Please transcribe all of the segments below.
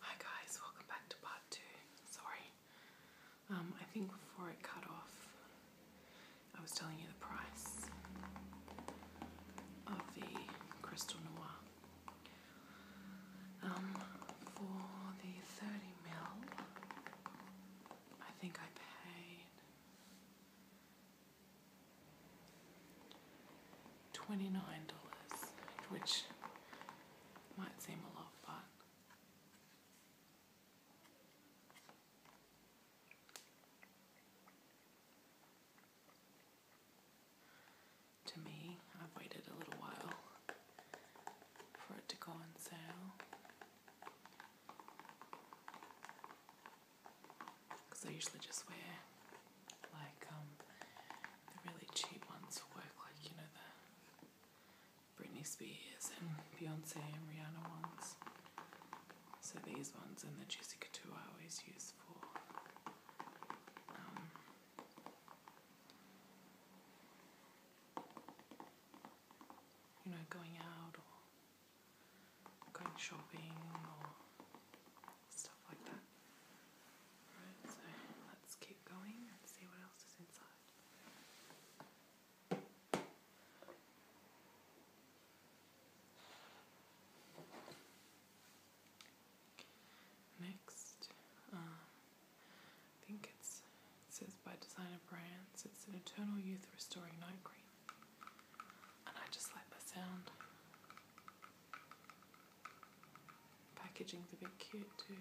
Hi guys, welcome back to part two. Sorry, um, I think before it cut off, I was telling you the price of the Crystal Noir um, for the 30 mil. I think I paid $29, which might seem a lot, but to me, I've waited a little while for it to go on sale. Because I usually just wear like um, the really cheap ones work, like you know the Britney Spears and Beyonce and Rihanna ones. So these ones and the Jessica two I always use for um, you know going out or going shopping or stuff like that. Alright, so let's keep going and see what else is inside. Next, um, I think it says by Designer Brands, it's an Eternal Youth Restoring Night Cream. And I just like the sound. Packaging's a bit cute too.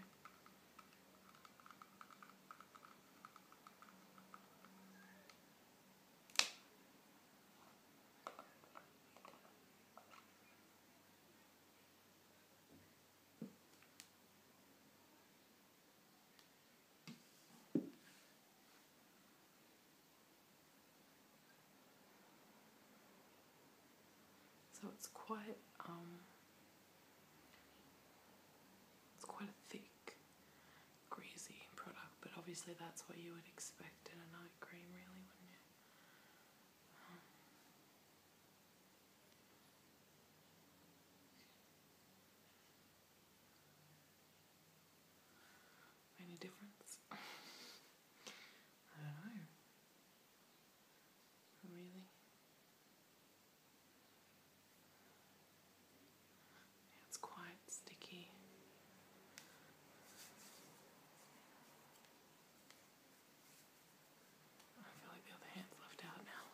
So it's quite um, it's quite a thick, greasy product, but obviously that's what you would expect in a night cream really, wouldn't you? any difference? I don't know. Really? It's quite sticky. I feel like the other hand's left out now.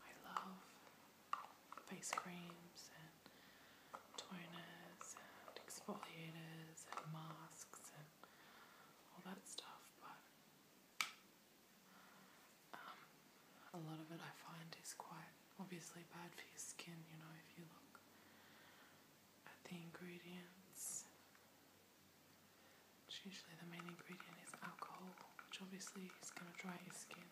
I love face creams and toners and exfoliators and masks and all that stuff, but um, a lot of it I find is quite obviously bad for your skin, you know, if you look at the ingredients. usually the main ingredient is alcohol, which obviously is going to dry your skin.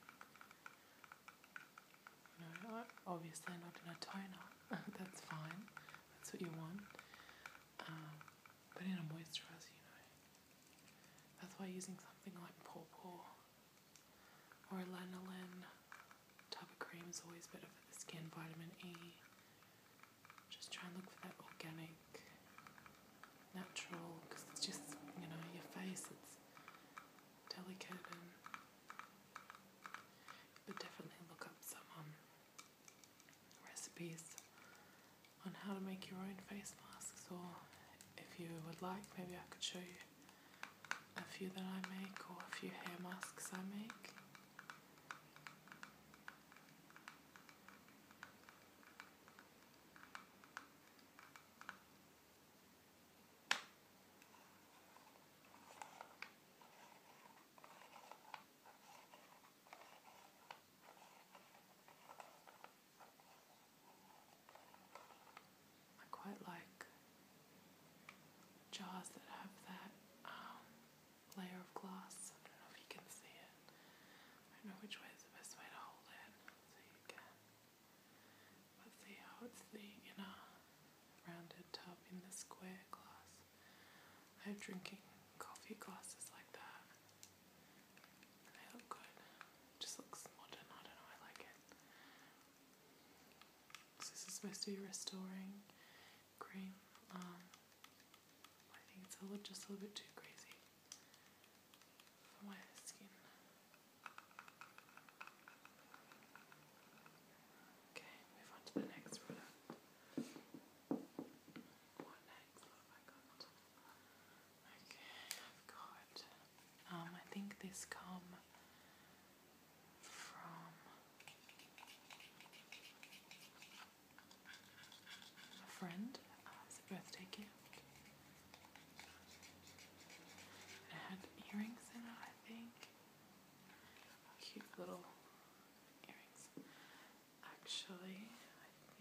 You know, obviously not in a toner, that's fine, that's what you want. Um, but in a moisturizer, you know. That's why using something like pore pore or lanolin. of cream is always better for the skin. Vitamin E. Just try and look for that organic, natural, because it's just you know your face. It's delicate and. But definitely look up some um, recipes on how to make your own face masks, or if you would like, maybe I could show you a few that I make or a few hair masks I make. I quite like jars that have that um, layer of glass. I don't know if you can see it. I don't know which way is the best way to hold it Let's see how it's the inner rounded tub in the square glass. I'm drinking coffee glasses like that. They look good. just looks modern. I don't know. I like it this is supposed to be restoring cream. I think it's a just a little bit too crazy for my skin. Okay, move on to the next product. What next? What have I Okay, I've got. Um, I think this come from a friend uh, as a birthday gift. It had earrings in it, I think. Cute little earrings. Actually,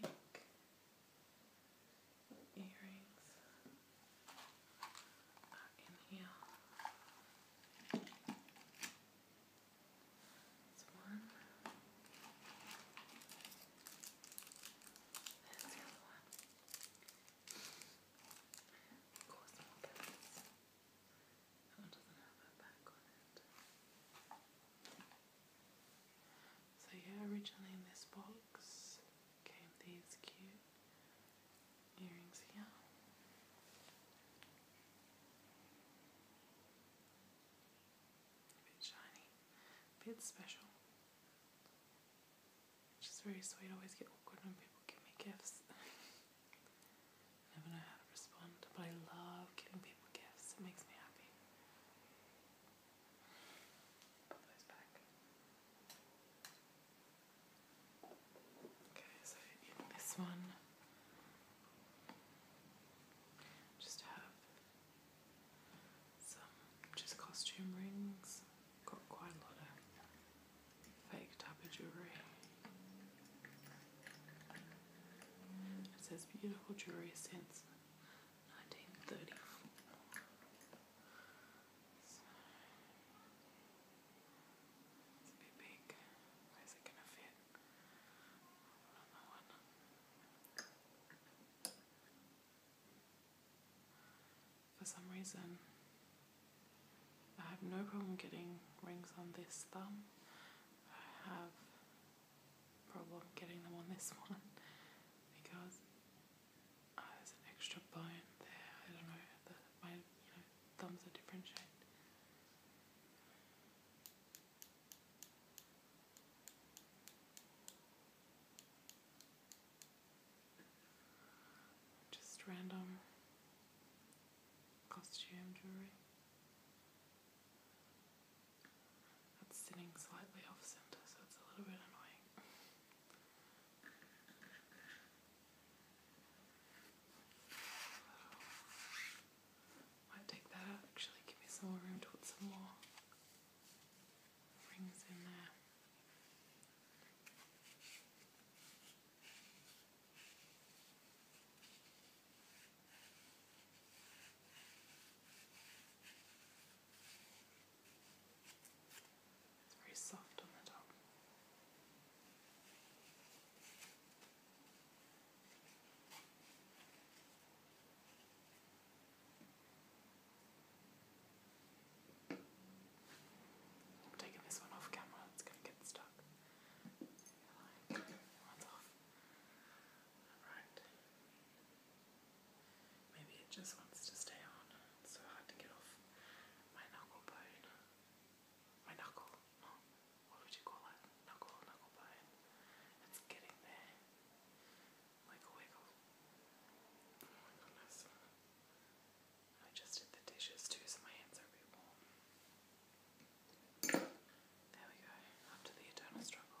I think earrings are uh, in here. That's one. There's the other one. Of course, more pins. That doesn't have a back on it. So yeah, originally in this box came these cute earrings Yeah, A bit shiny, a bit special. Which very sweet. I always get awkward when people give me gifts. Never know how to respond, but I love giving people gifts. It makes me happy. Okay, so in this one, just have some just costume rings. Got quite a lot of fake type of jewellery. It says beautiful jewellery since for some reason, I have no problem getting rings on this thumb. I have problem getting them on this one because Ah, there's an extra bone there. I don't know. The, my thumbs are different Just random costume jewelry. It's sitting slightly off center, so it's a little bit annoying. Might take that out actually, give me some more room to put some more rings in there. It's very soft on the top. I'm taking this one off camera, it's going to get stuck. Like, Maybe it just wants to stay on. so hard to get off my knuckle bone. My knuckle, what would you call it? Knuckle, knuckle bone. It's getting there. Wiggle, wiggle. Oh my goodness. I just did the dishes too, so my hands are a warm. There we go, after the eternal struggle.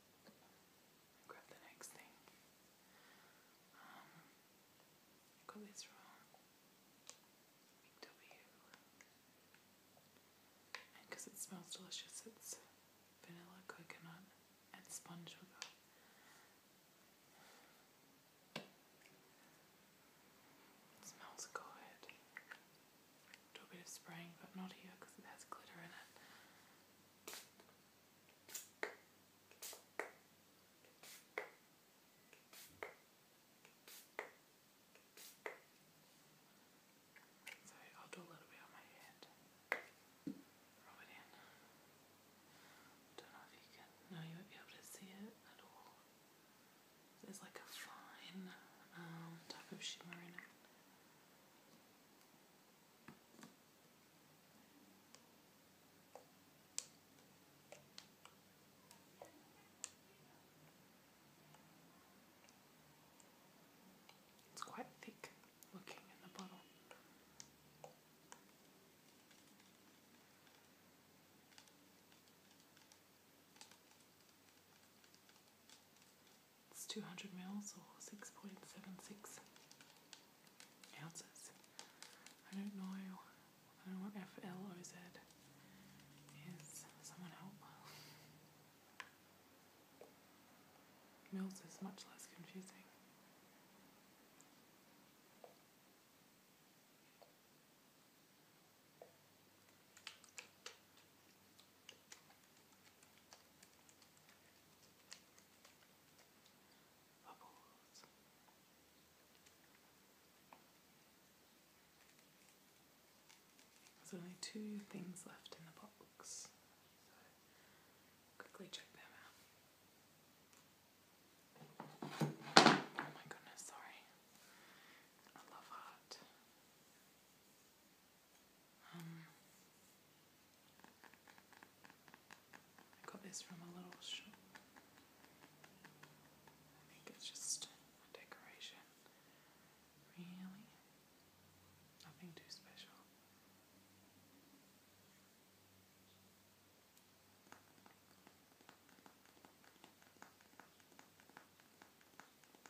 grab the next thing. Um, this wrong. W. because it smells delicious, it's vanilla, coconut, and sponge sugar. It smells good do a bit of spraying, but not here because it has glitter in it. So I'll do a little bit on my hand. Rub it in. Don't know if you can. No, you won't be able to see it at all. There's like a fine um, type of shimmer in it. It's quite thick looking in the bottle. It's 200 mils or 6.76 ounces. I don't know. I don't know what FLOZ is. Someone help. Mils is much less confusing. Bubbles. There's only two things left in the box, quickly check them out. Oh my goodness, sorry. I love art. Um, I got this from a little shop. I think it's just a decoration. Really? Nothing too special.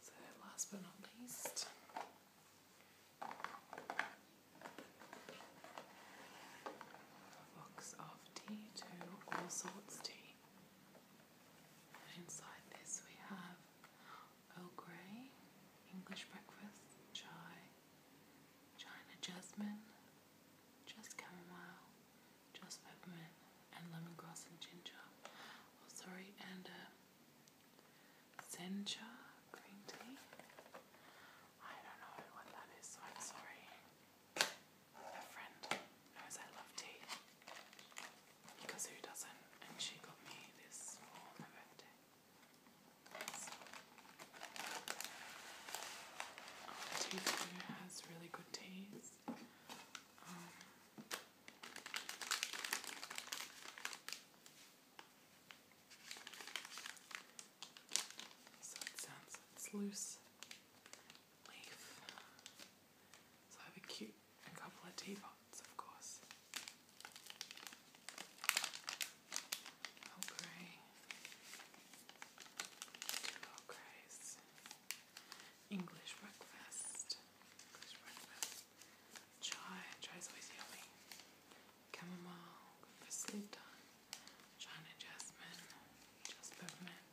So, last but not least, box of tea to all sorts tea. inside this, we have Earl Grey, English breakfast, chai, China jasmine, just chamomile, just peppermint and lemongrass and ginger. Oh, sorry, and uh, sencha green tea. I don't know what that is, so I'm sorry. A friend knows I love tea because who doesn't? And she got me this for my birthday. So, our has really good teas so it sounds it's loose So I have a cute couple of teapots, of course. Oh grey. English breakfast. English breakfast. Chai. Chai is always yummy. Chamomile. Good for sleep time. China jasmine. Just peppermint.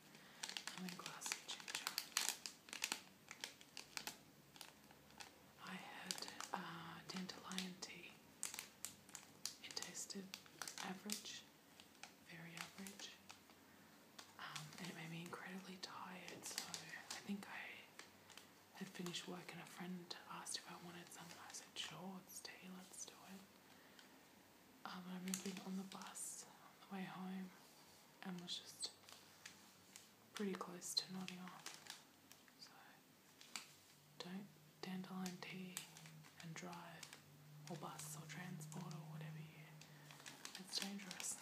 Lemongrass ginger. I had uh, dandelion tea. It tasted average very average. Um, and it made me incredibly tired, so I think I had finished work and a friend asked if I wanted some, I said, sure, tea, let's do it. Um, I remember being on the bus on the way home and was just pretty close to nodding off. So don't dandelion tea and drive or bus or transport or whatever it's dangerous.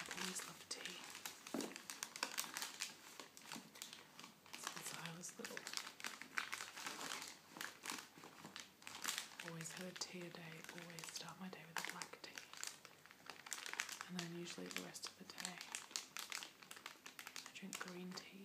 i always loved tea since I was little. Always have a tea a day, always start my day with a black tea. And then usually the rest of the day I drink green tea.